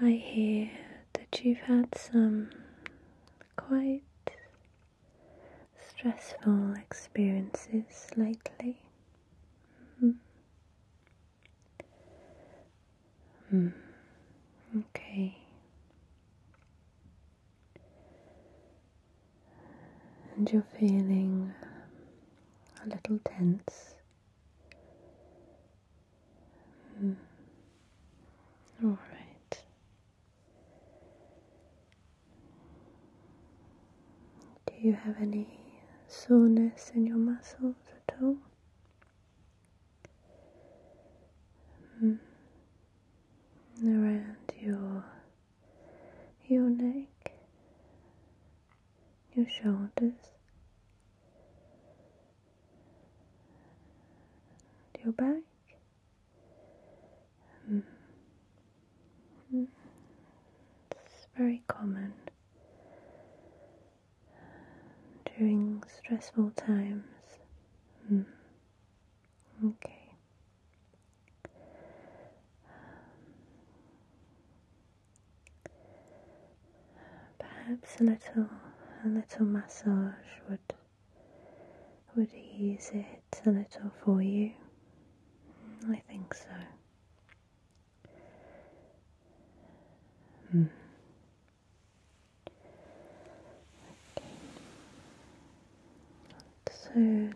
I hear that you've had some quite stressful experiences lately. Mm. Mm. Okay and you're feeling a little tense. Hmm. All right. Do you have any soreness in your muscles at all? Hmm. Around your your neck, your shoulders, your back. Mm. It's very common during stressful times. Mm. Okay. Perhaps a little, a little massage would would ease it a little for you. I think so. Hmm. Okay. So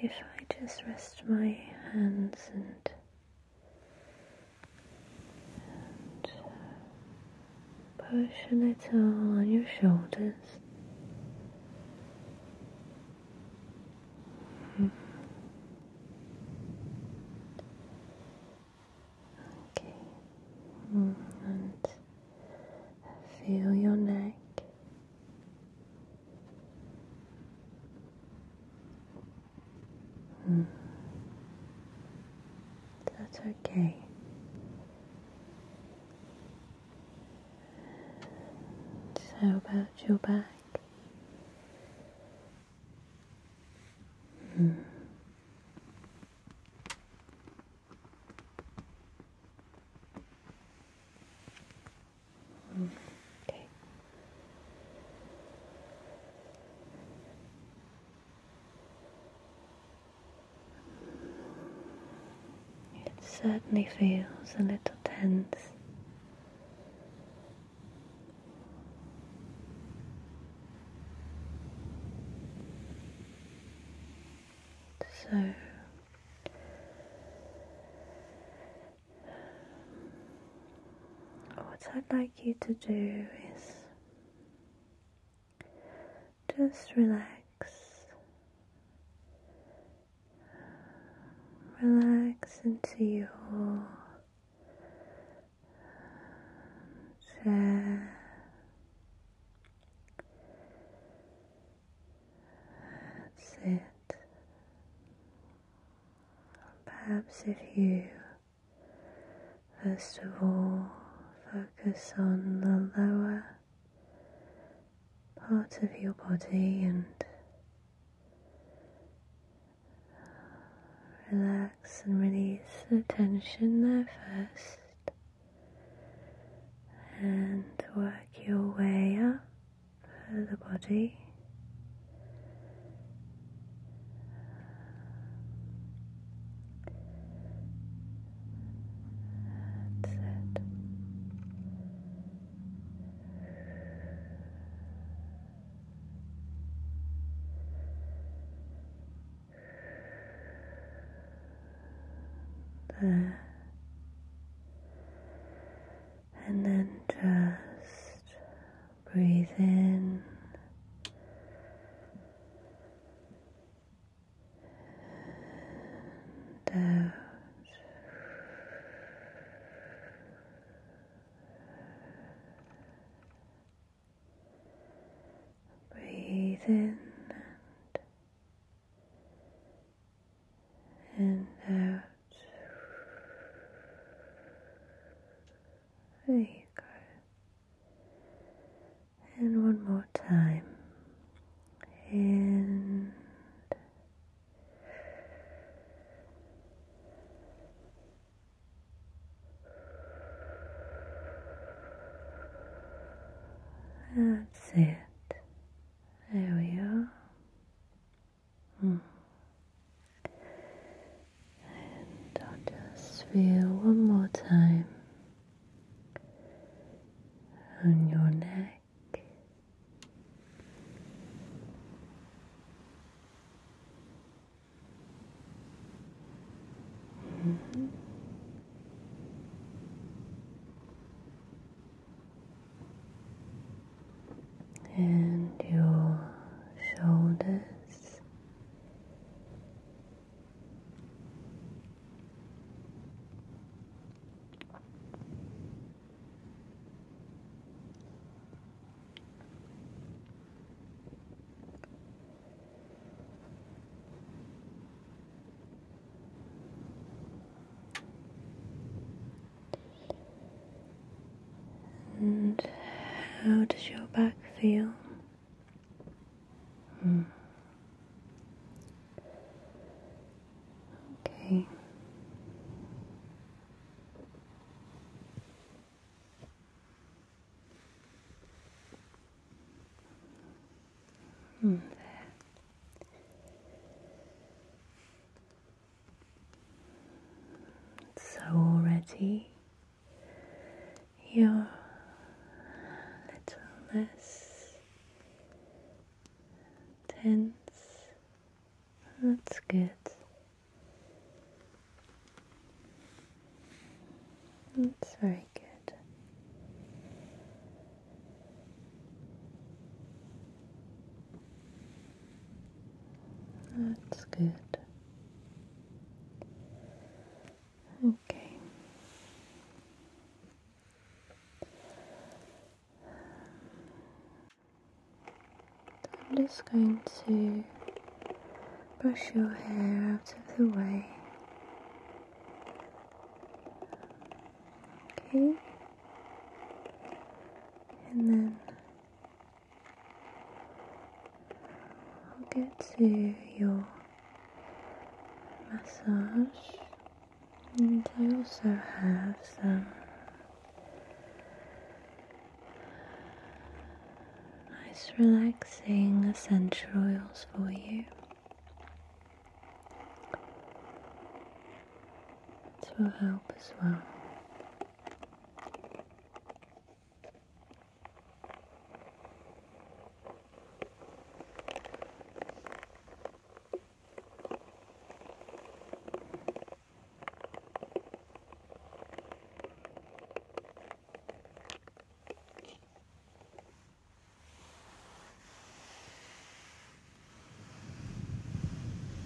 if I just rest my hands and, and push a little on your shoulders. Mm-hmm. Okay, mm, and feel your neck. Hmm. That's okay. So how about your back? Hmm. It certainly feels a little tense. So what I'd like you to do is just relax, relax into your chair. That's it. Perhaps if you first of all focus on the lower part of your body and relax and release the tension there first and work your way up for uh, the body. That's it. There and then just breathe in and out. Breathe in and out. There you go. And one more time. And that's it. There we are. And I'll just feel one more time on your neck. Mm-hmm and your shoulders. And how does your back feel? Hmm. Okay. there. Hmm. So already you're a little less tense. That's good. That's very good. That's good. Okay. I'm just going to brush your hair out of the way. Okay. And then I'll get to your massage. And I also have some nice relaxing essential oils for you. This will help as well.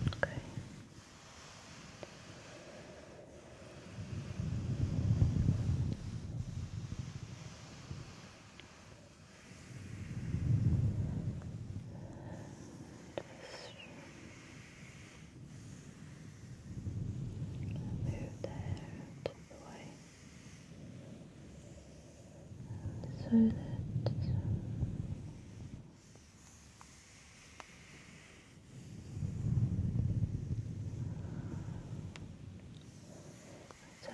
Okay. Move there to so that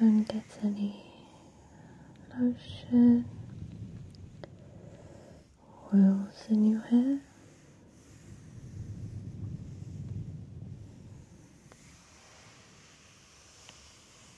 don't get any lotion oils in your hair.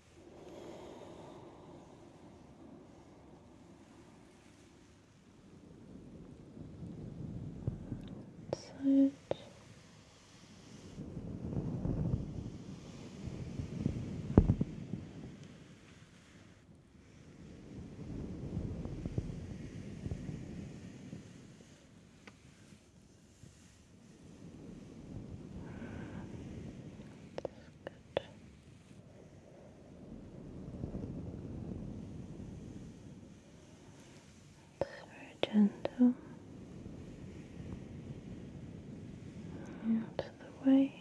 Search. Just very gentle. Out of the way.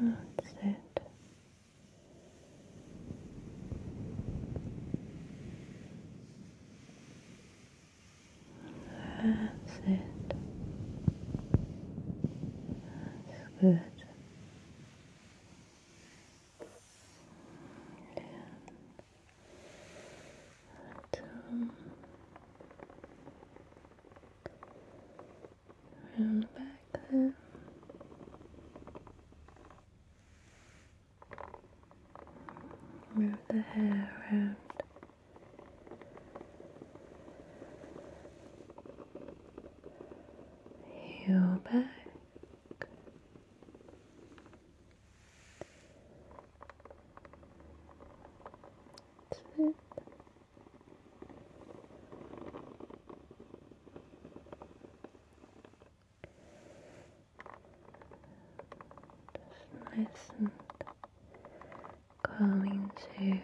That's with it. That's it. That's good. Yeah. But, around the back there. Move the hair around. Your back. That's just nice and calming too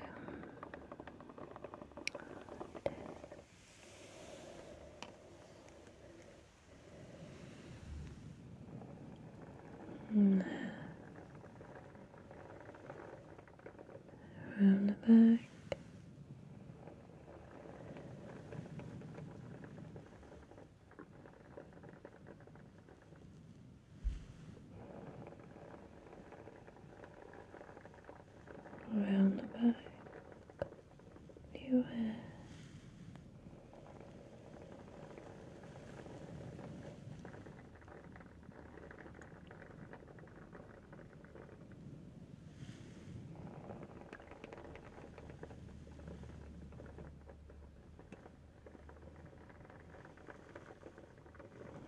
around the back. Around the back of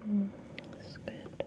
Mm, that's good.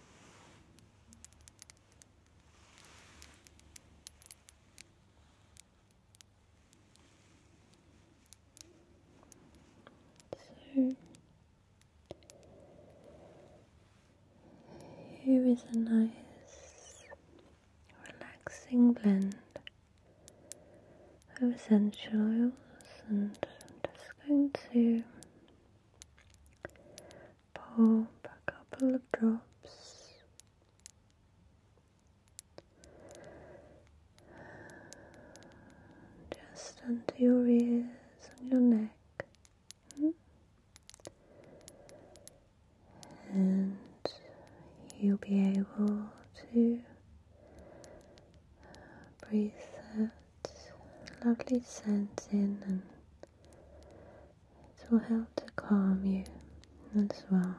So here is a nice relaxing blend of essential oils and I'm just going to Pump a couple of drops just under your ears and your neck, hmm? and you'll be able to breathe lovely scents in and it will help to calm you as well.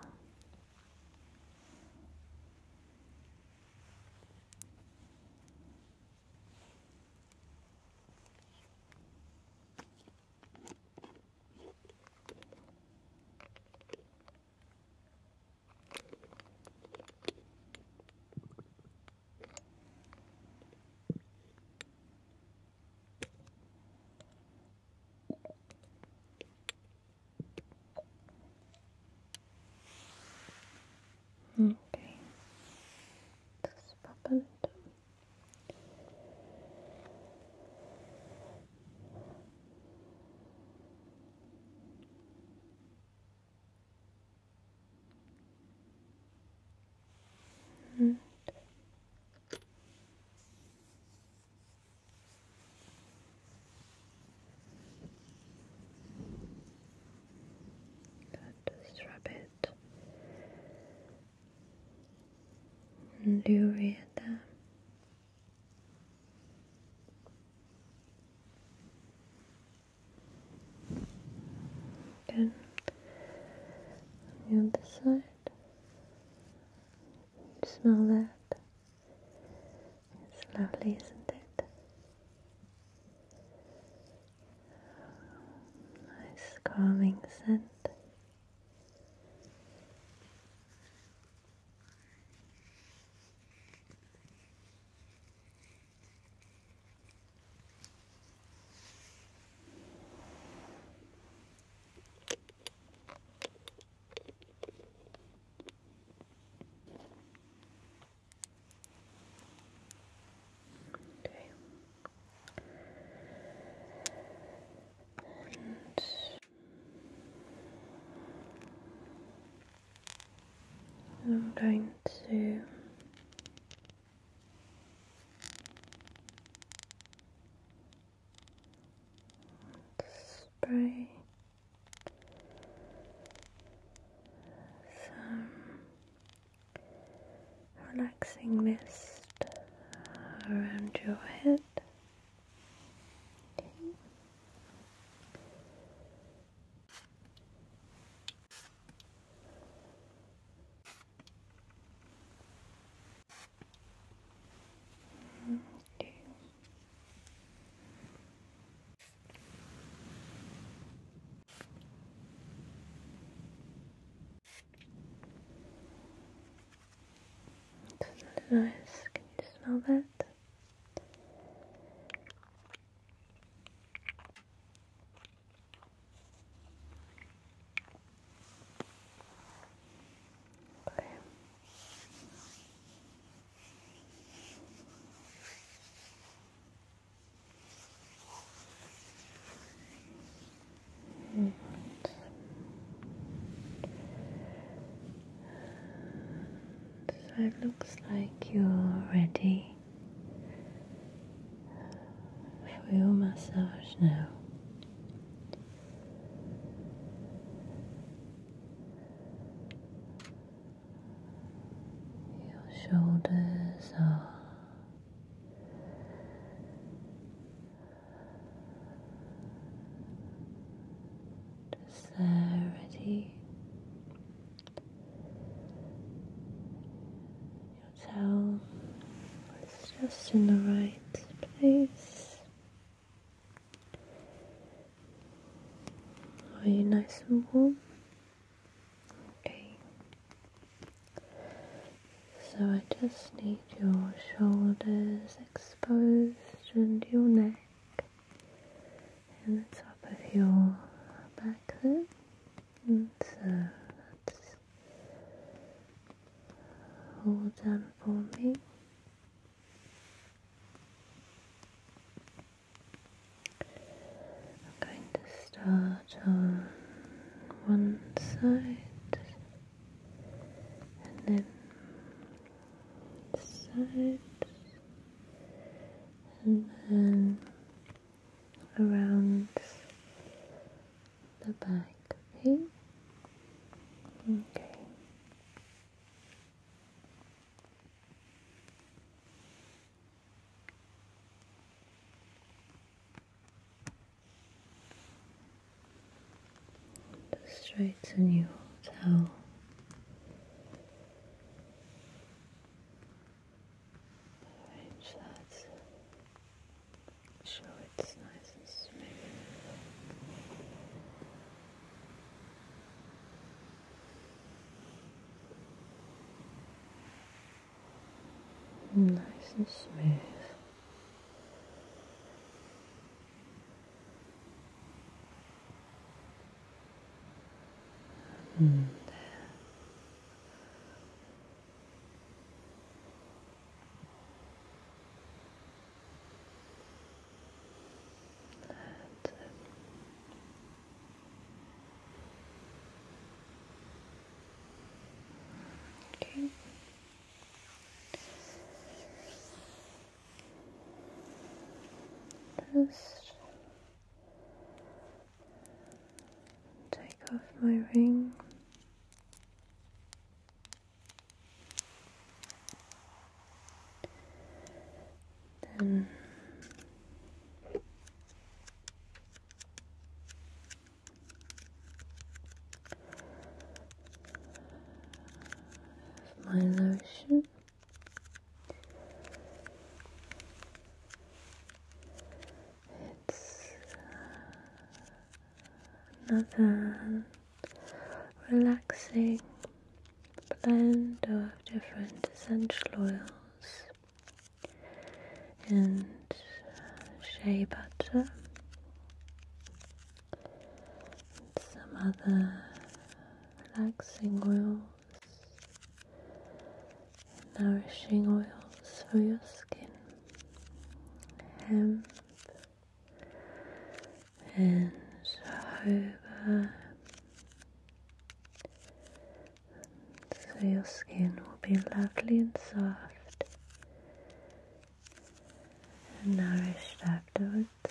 Okay, just pop it. And just rub it and you read them. Good. the other side. Smell that. It's lovely, isn't it? Nice calming scent. Okay. And I'm going to Spray some relaxing mist around your head. Okay. It's nice. Can you smell that? Mm. so it looks like you're ready I will massage now. Your shoulders are just there ready your towel is just in the right place. Are you nice and warm? Okay. So I just need your shoulders exposed and your neck and the top of your back there. And so that's all done for me. I'm going to start on one side and then side and then around the back, okay? Okay. Just try to new towel. Arrange that so it's nice and smooth. Nice and smooth. And there. That's it. Okay. Just Take off my ring. Then my lotion. It's uh, another relaxing blend of different essential oils and shea butter and some other relaxing oils nourishing oils for your skin, hemp and jojoba, so your skin will be lovely and soft and nourished afterwards.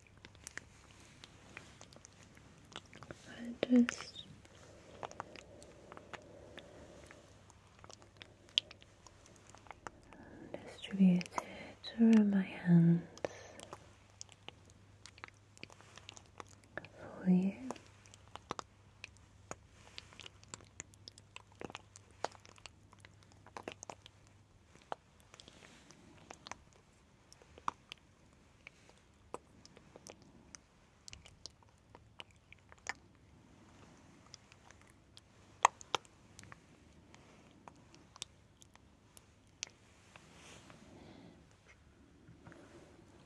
I just distribute it around my hands for you.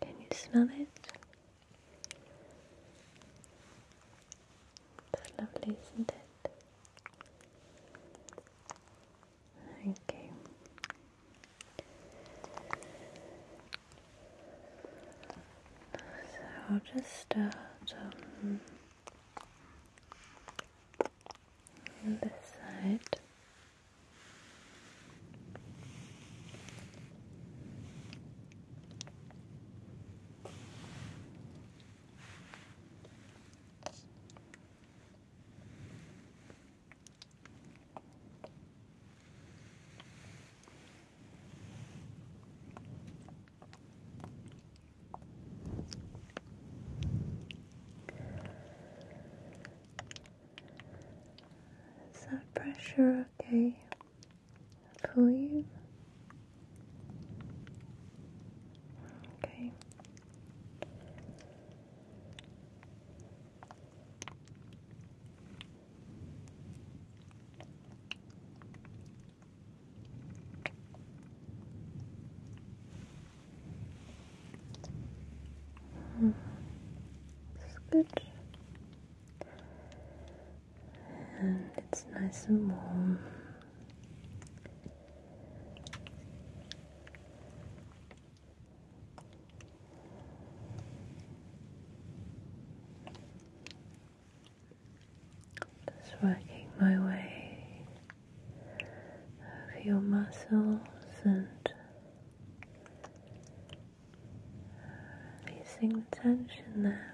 Can you smell it? That lovely, isn't it? Okay. So I'll just start um, on this side. Is that pressure okay for you? Okay. Mm -hmm. It's good, and it's nice and warm. Just working my way over your muscles and releasing tension there.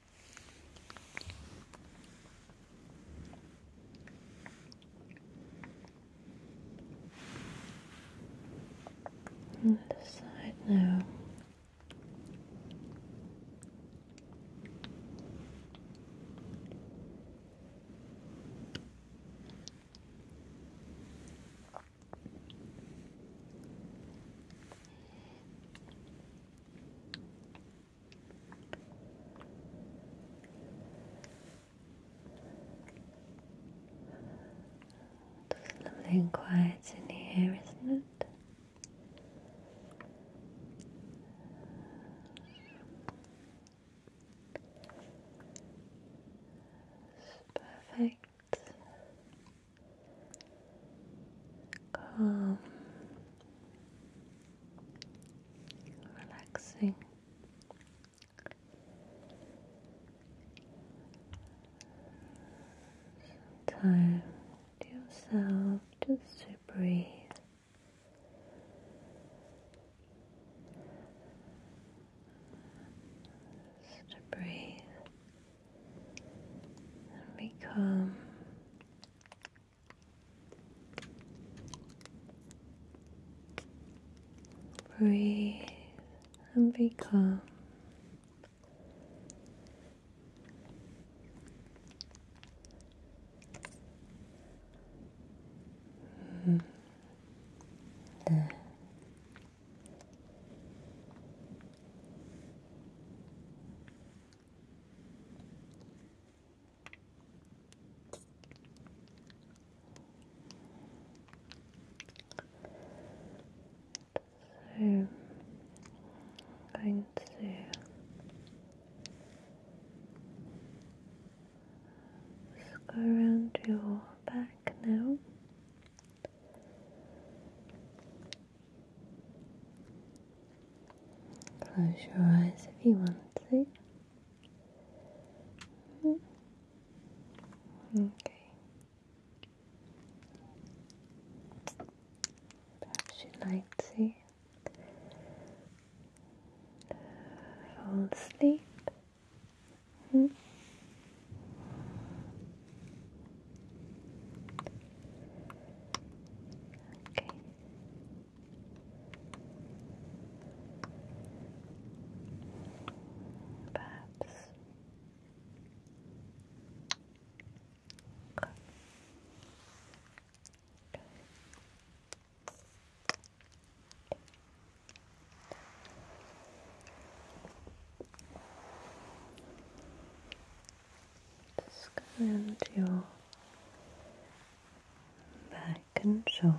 On the other side now. It's lovely and quiet in here, isn't it? perfect. Calm relaxing. Time to yourself just to breathe. Just to breathe and become Breathe and be calm. -hmm. yeah. I'm going to go around your back now. Close your eyes if you want to. Mm-hmm. Okay. Perhaps you like to fall asleep. -hmm. Okay. Perhaps. Okay. Just your back and shoulders.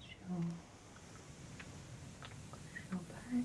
Show, show back.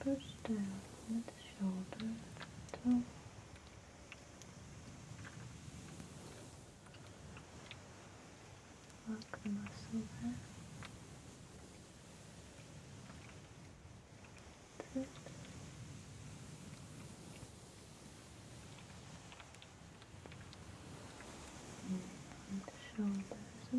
push down with the shoulder Lock the muscle there. That's hmm. the shoulders up.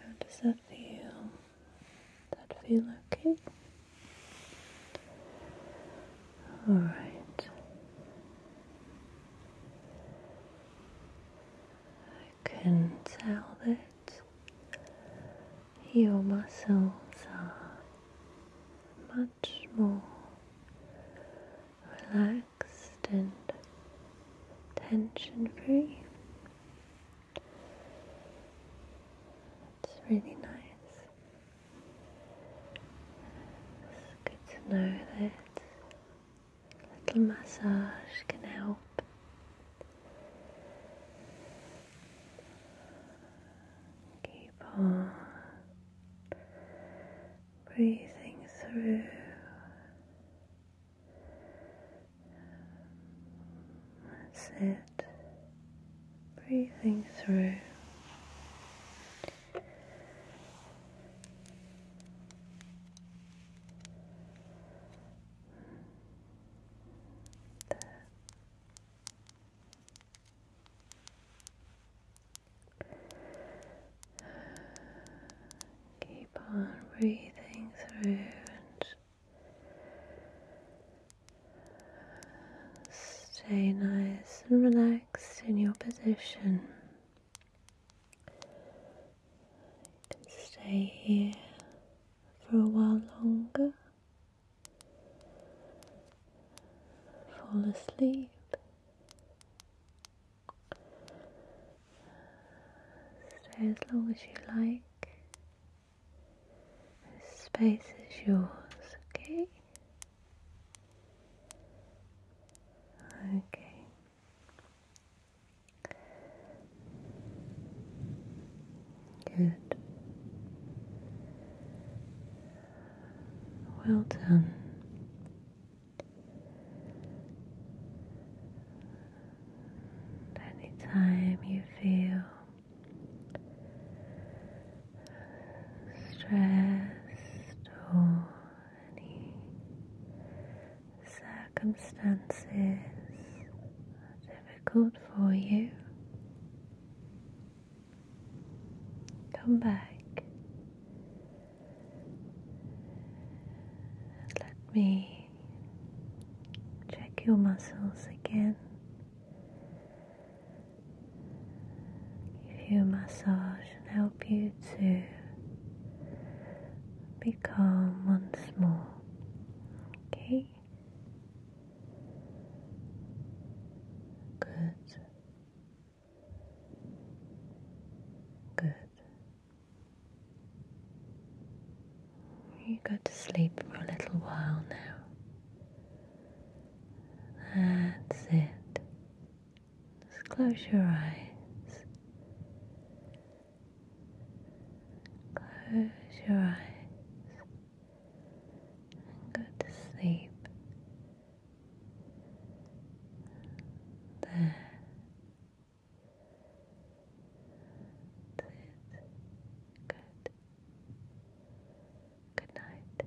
How does that feel? Does that feel okay? All right. I can tell that your muscles are much more relaxed and tension free. It's really nice. It's good to know that a little massage can help. Keep on breathing through. That's Breathing through. Keep on breathing through and stay nice and relaxed in your position stay here for a while longer, fall asleep. Stay as long as you like. This space is yours, okay? Okay. Good. Well done. Anytime you feel stressed or any circumstances difficult for you, come back let me check your muscles again. Give you a massage and help you to be calm once more. Okay? Good. Good. You go to sleep for a little while now. That's it. Just close your eyes. Close your eyes and go to sleep. There. That's it. Good. Good night.